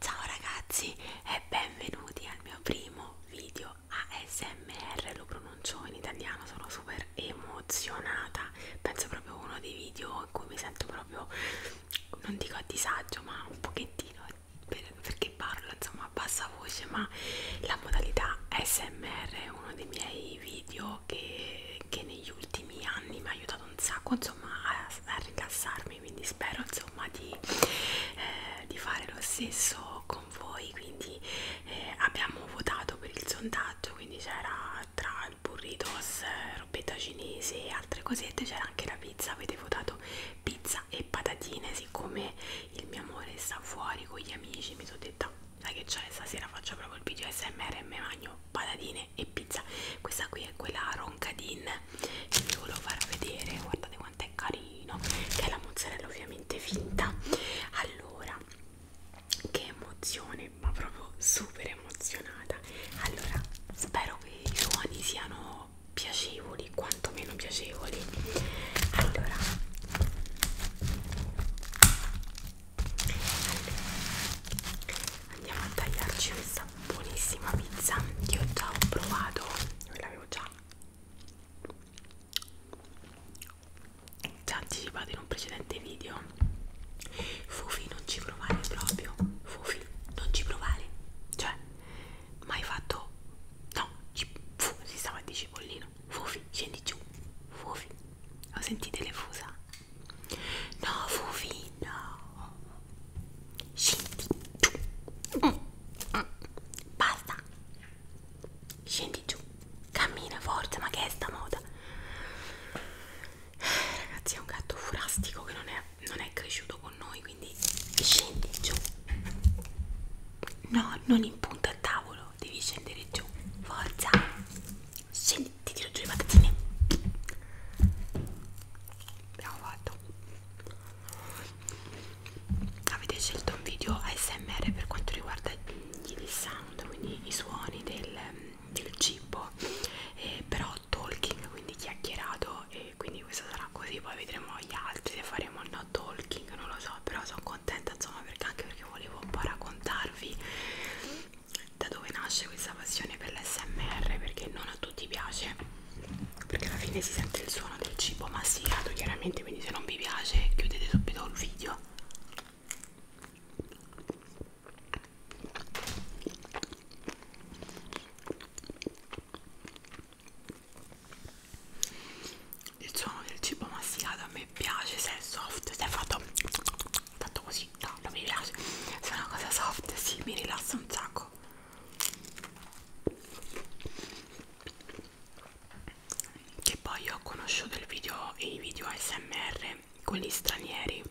Ciao ragazzi e benvenuti al mio primo video ASMR, lo pronuncio in italiano, sono super emozionata, penso proprio uno dei video in cui mi sento proprio, non dico a disagio, ma un pochettino per, perché parlo insomma a bassa voce, ma la modalità ASMR è uno dei miei video che, che negli ultimi anni mi ha aiutato un sacco insomma a, a rilassarmi amicarmi quindi spero insomma di, eh, di fare lo stesso con voi quindi eh, abbiamo votato per il sondaggio quindi c'era tra il burritos robetta cinese e altre cosette c'era anche la pizza avete votato pizza e patatine siccome il mio amore sta fuori con gli amici mi sono detta sai che c'è stasera faccio proprio il video smr e me magno patatine e pizza questa qui è quella roncadin che vi volevo far vedere guardate quanto è carino che è la mozzarella ovviamente finta allora che emozione ma proprio super emozionata allora spero che i suoni siano piacevoli quanto meno piacevoli allora andiamo a tagliarci questa pizza buonissima pizza che ho già provato l'avevo già già anticipato in un precedente video Fufi non ci provare proprio Fufi non ci provare cioè mai fatto no ci, fu, si stava a di cipollino Fufi scendi giù Fufi ho sentite le fusa no Fufi no scendi giù mm, mm. basta scendi giù cammina forza ma che è sta moda ragazzi è un gatto furastico che non è, non è cresciuto con noi quindi scendi giù no non in punta al tavolo devi scendere giù forza scendi ti tiro giù le patatine abbiamo fatto avete scelto un video ASMR per quanto riguarda gli sound quindi i suoni del, del cibo eh, però talking quindi chiacchierato e quindi questo sarà così poi vedremo gli altri se faremo no talking non lo so però sono contenta insomma perché anche perché volevo un po' raccontarvi da dove nasce questa passione per l'SMR perché non non a tutti piace perché alla fine si sente il suono del cibo masticato chiaramente quindi se non vi piace chiudete subito il video il suono del cibo masticato a me piace se è soft se è fatto fatto così no non mi piace se è una cosa soft si sì, mi rilassa un sacco che poi ho conosciuto il video e i video ASMR quelli stranieri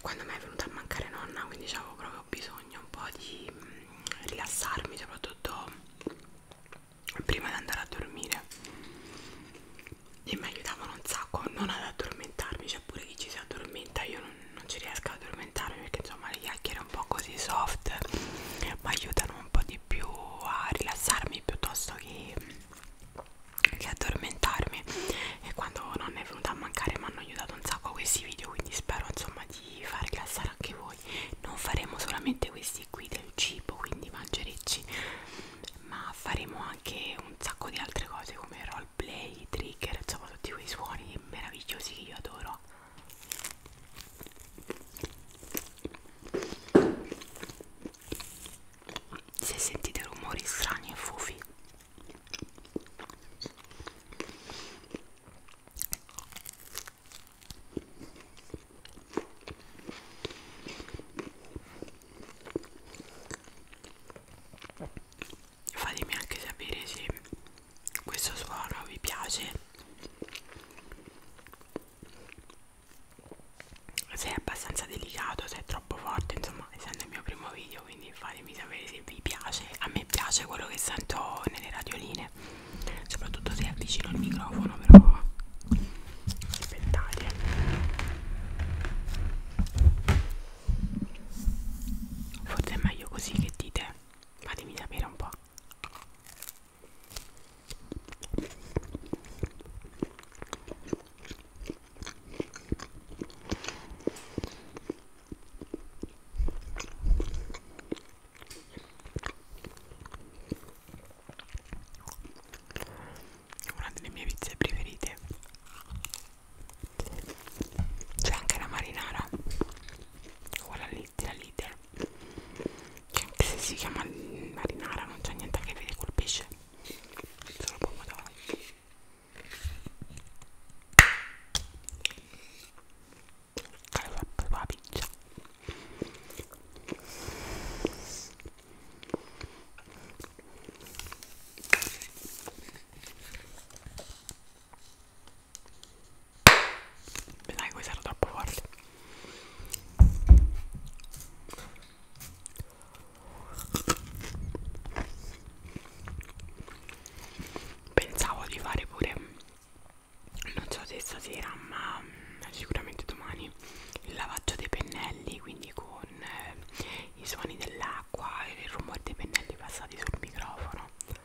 quando mi è venuta a mancare nonna quindi avevo proprio bisogno un po' di mm, rilassarmi soprattutto prima di andare a dormire e mi aiutavano un sacco non ad addormentarmi c'è cioè pure chi ci si addormenta io non non, non ci riesco ad addormentarmi perché insomma le chiacchiere un po' così soft mi aiutano un po' di più a rilassarmi piuttosto che, che addormentarmi e quando non è venuta a mancare mi hanno aiutato un sacco questi video quindi spero insomma di far rilassare anche voi non faremo solamente questi qui del cibo quindi mangerecci ma faremo anche un sacco di altre cose come roll play, trigger, insomma tutti quei suoni meravigliosi che io adoro se sentite rumori strani e fofi fatemi anche sapere se questo suono vi piace se è abbastanza delicato se è troppo forte insomma essendo il mio primo video quindi fatemi sapere se vi piace a me piace quello che sento nelle radioline soprattutto se avvicino il microfono però aspettate Forse è meglio così che dite. Fatemi sapere un po'. Una delle mie pizze preferite c'è anche la marinara quella lì la leader che anche se si chiama marinara non c'è niente a che vedere col pesce solo pomodoro allora la piccia dai, questo era troppo forte. Pensavo di fare pure, non so se stasera, ma sicuramente domani, il lavaggio dei pennelli, quindi con eh, i suoni dell'acqua e il rumore dei pennelli passati sul microfono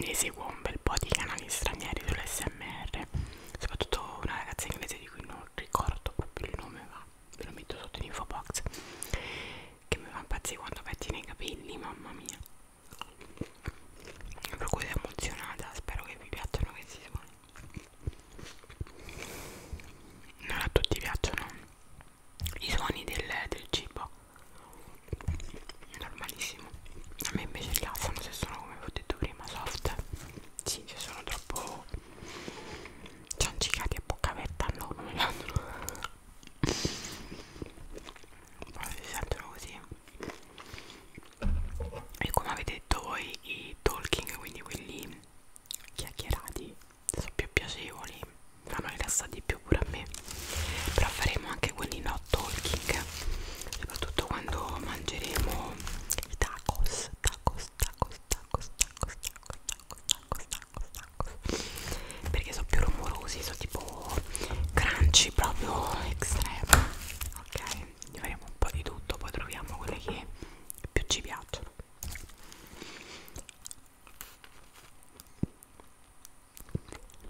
ne seguo un bel po' di canali stranieri sull'SMR, soprattutto una ragazza inglese di cui non ricordo proprio il nome, ma ve lo metto sotto in info box, che mi fa impazzire quando pettina i capelli, mamma mia. Per cui sono emozionata, spero che vi piacciono questi suoni. Non a tutti piacciono i suoni del, del cibo normalissimo a me invece piacciono se sono come vi ho detto prima soft sì se sono troppo ciancicati a bocca aperta no non mi piacciono poi si sentono così e come avete detto voi i talking quindi quelli chiacchierati sono più piacevoli fanno rilassare di più pure a me però faremo anche quelli no talking soprattutto quando mangeremo i tacos tacos tacos tacos tacos tacos tacos tacos tacos perché sono più rumorosi sono tipo crunchy proprio estremo ok ne faremo un po' di tutto poi troviamo quelle che più ci piacciono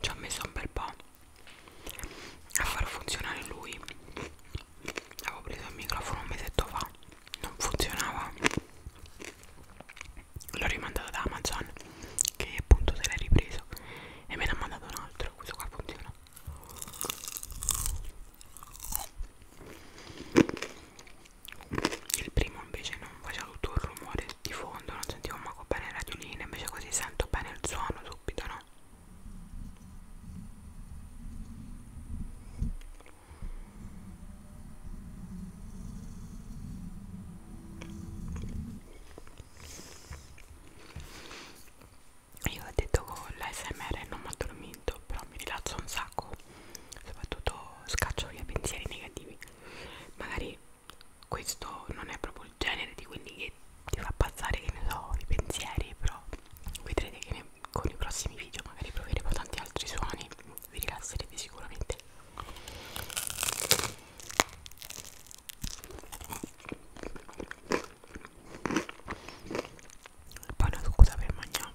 ci ha messo un bel po' a far funzionare lui avevo preso il microfono un mesetto fa non funzionava l'ho rimandato da Amazon che appunto se l'è ripreso e me ne ha mandato un altro questo qua funziona il primo invece non faceva tutto il rumore di fondo non sentivo manco bene la radioline invece così sento bene il suono subito no io ho detto con l'ASMR non mi ho dormito però mi rilasso un sacco soprattutto scaccio via pensieri negativi magari questo non è proprio il genere di quelli che ti fa passare che ne so i pensieri però vedrete che ne, con i prossimi video magari proveremo tanti altri suoni vi rilasserete sicuramente poi una scusa per mangiare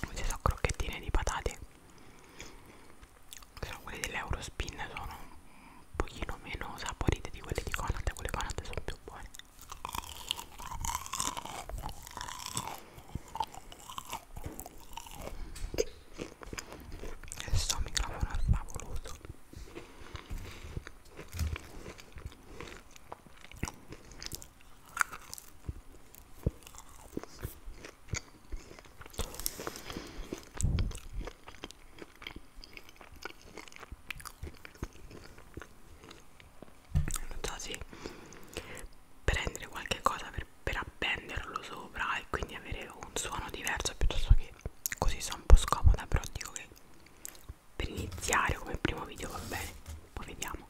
Questi sono crocchettine di patate sono quelle dell'Eurospin sono un pochino meno saporite di quelle di Conat quelle Conat sono più buone questo microfono è favoloso Notate prendere qualche cosa per, per appenderlo sopra e quindi avere un suono diverso piuttosto che così sono un po' scomoda però dico che per iniziare come primo video va bene poi vediamo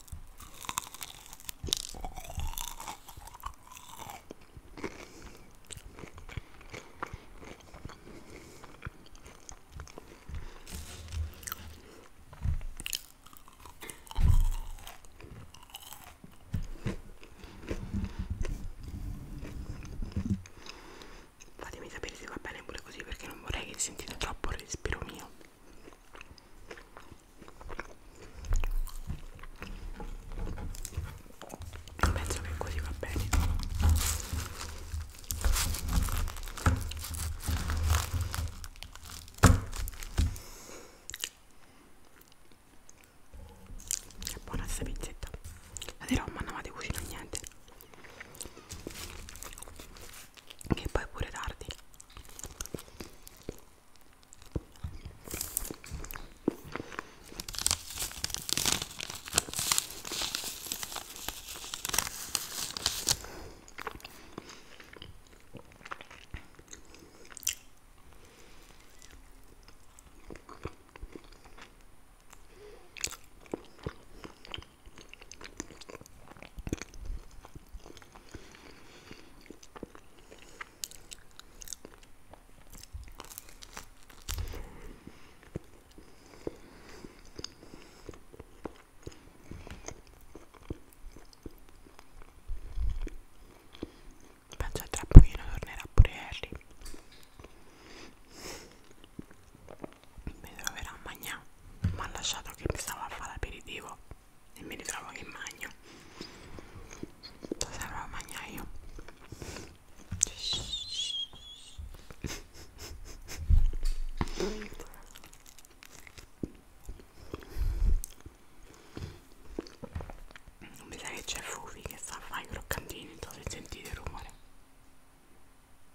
fatemi sapere se va bene pure così perché non vorrei che sentite troppo il respiro mio penso che così va bene è buona questa pizzetta la dirò ma non vado a cucinare niente che poi è pure tardi Penso che tra pochino tornerà pure Harry mi troverà a mangiare mi ha lasciato che mi stavo a fare l'aperitivo e mi ritrovo che magno sto sempre a mangiare io non mi sa che c'è Fufi che sta a fare i croccantini, non so se sentite il rumore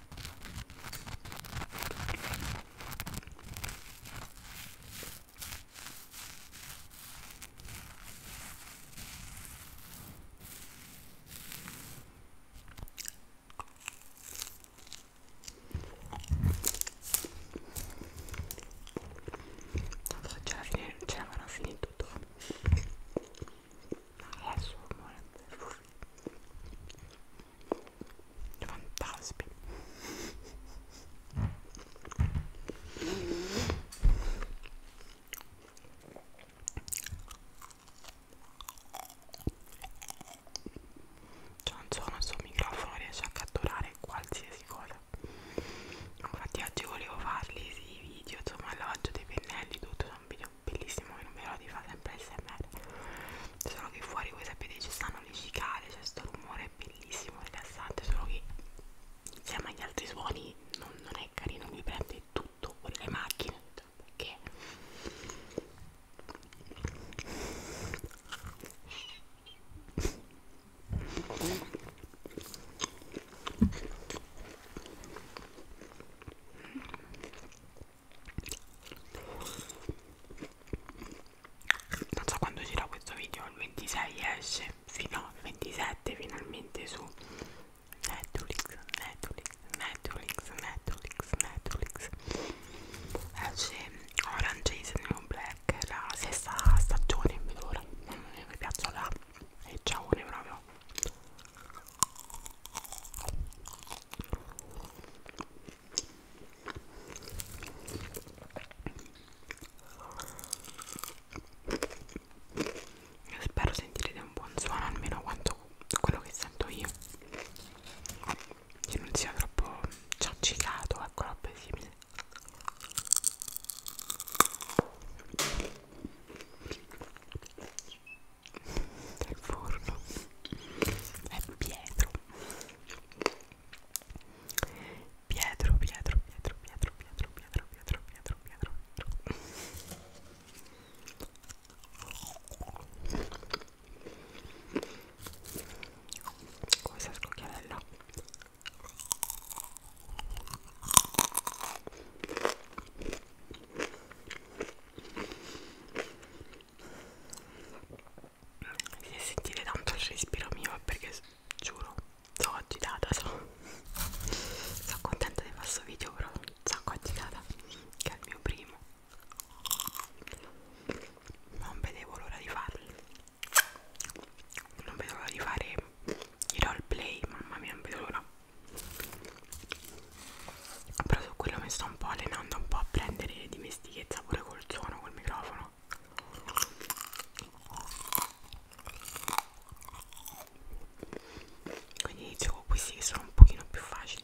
non so ce l'avevano finito tutto adesso eh, amore fantasmi cioè non so, il suo microfono riesce a catturare qualsiasi cosa infatti oggi volevo farli sì, i video, insomma il lavaggio dei pennelli tutto, sono video video bellissimo che non vedo l'ora di fare sempre smr solo che fuori voi sapete ci stanno le cicale c'è sto rumore bellissimo rilassante solo che insieme agli altri suoni non, non è carino mi prende tutto con le macchine cioè, perché non so quando uscirà questo video il 26 esce fino al 27 finalmente su Netflix Netflix Netflix Netflix Netflix esce Orange is the New Black la sesta stagione vedo ora non mi piaccia la e ciao ne proprio buono spero sentirete un buon suono almeno quanto quello che sento io che non sia troppo ciaccicato ecco roba simile del forno è Pietro Pietro, Pietro, Pietro, Pietro, Pietro, Pietro, Pietro, Pietro, Pietro, Pietro. Questa scocchiarella se sentite tanto il respiro mio è perché giuro sono agitata, sono, sono contenta di fare questo video però sono sacco agitata che è il mio primo non vedevo l'ora di farlo non vedo l'ora di fare i roleplay, mamma mia non vedo l'ora però su quello mi sto un po' allenando un po' a prendere dimestichezza pure col suono col microfono quindi inizio con questi che sono un pochino più facili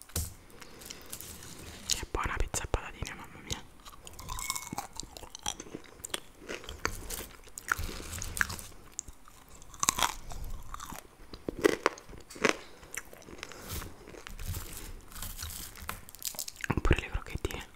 Che buona pizza e patatine, mamma mia. Oppure le crocchettine.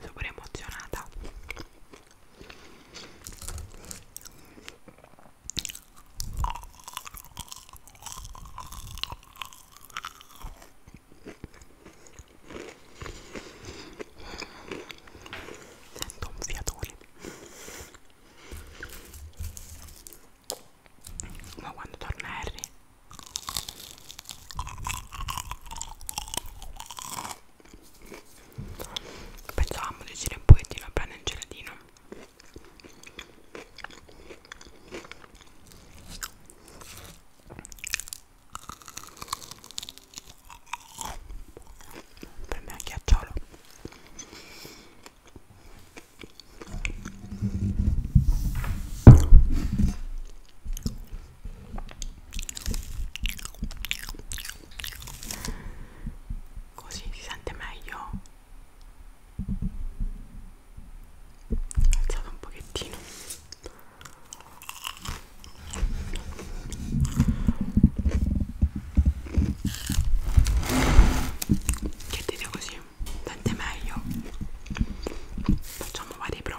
Super emozionata sento un fiatone ma quando torna Harry pensavamo di uscire un pochettino a prendere il gelatino per me è ghiacciolo così si sente meglio alzato un pochettino che ti dico così tante meglio facciamo varie prove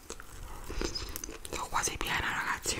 sono quasi piena ragazzi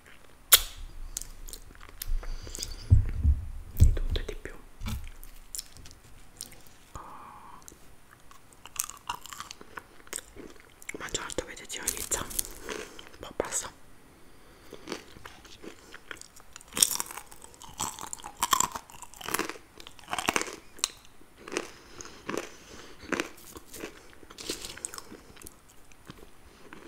di tutto e di più oh. ma certo vedete io inizio un po' passa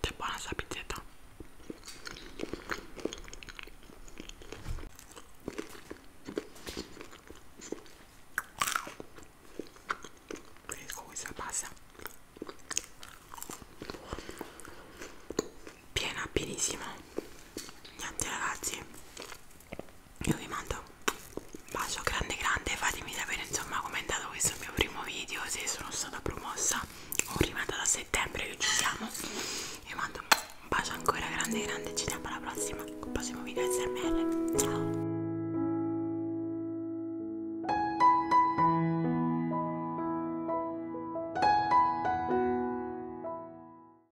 che buona sta pizzetta ecco questa pasta piena pienissima niente ragazzi io vi mando un bacio grande grande fatemi sapere insomma come è andato questo mio primo video se sono stata promossa o rimandata a settembre che ci siamo vi mando un bacio ancora grande grande ci vediamo alla prossima col prossimo video smr ciao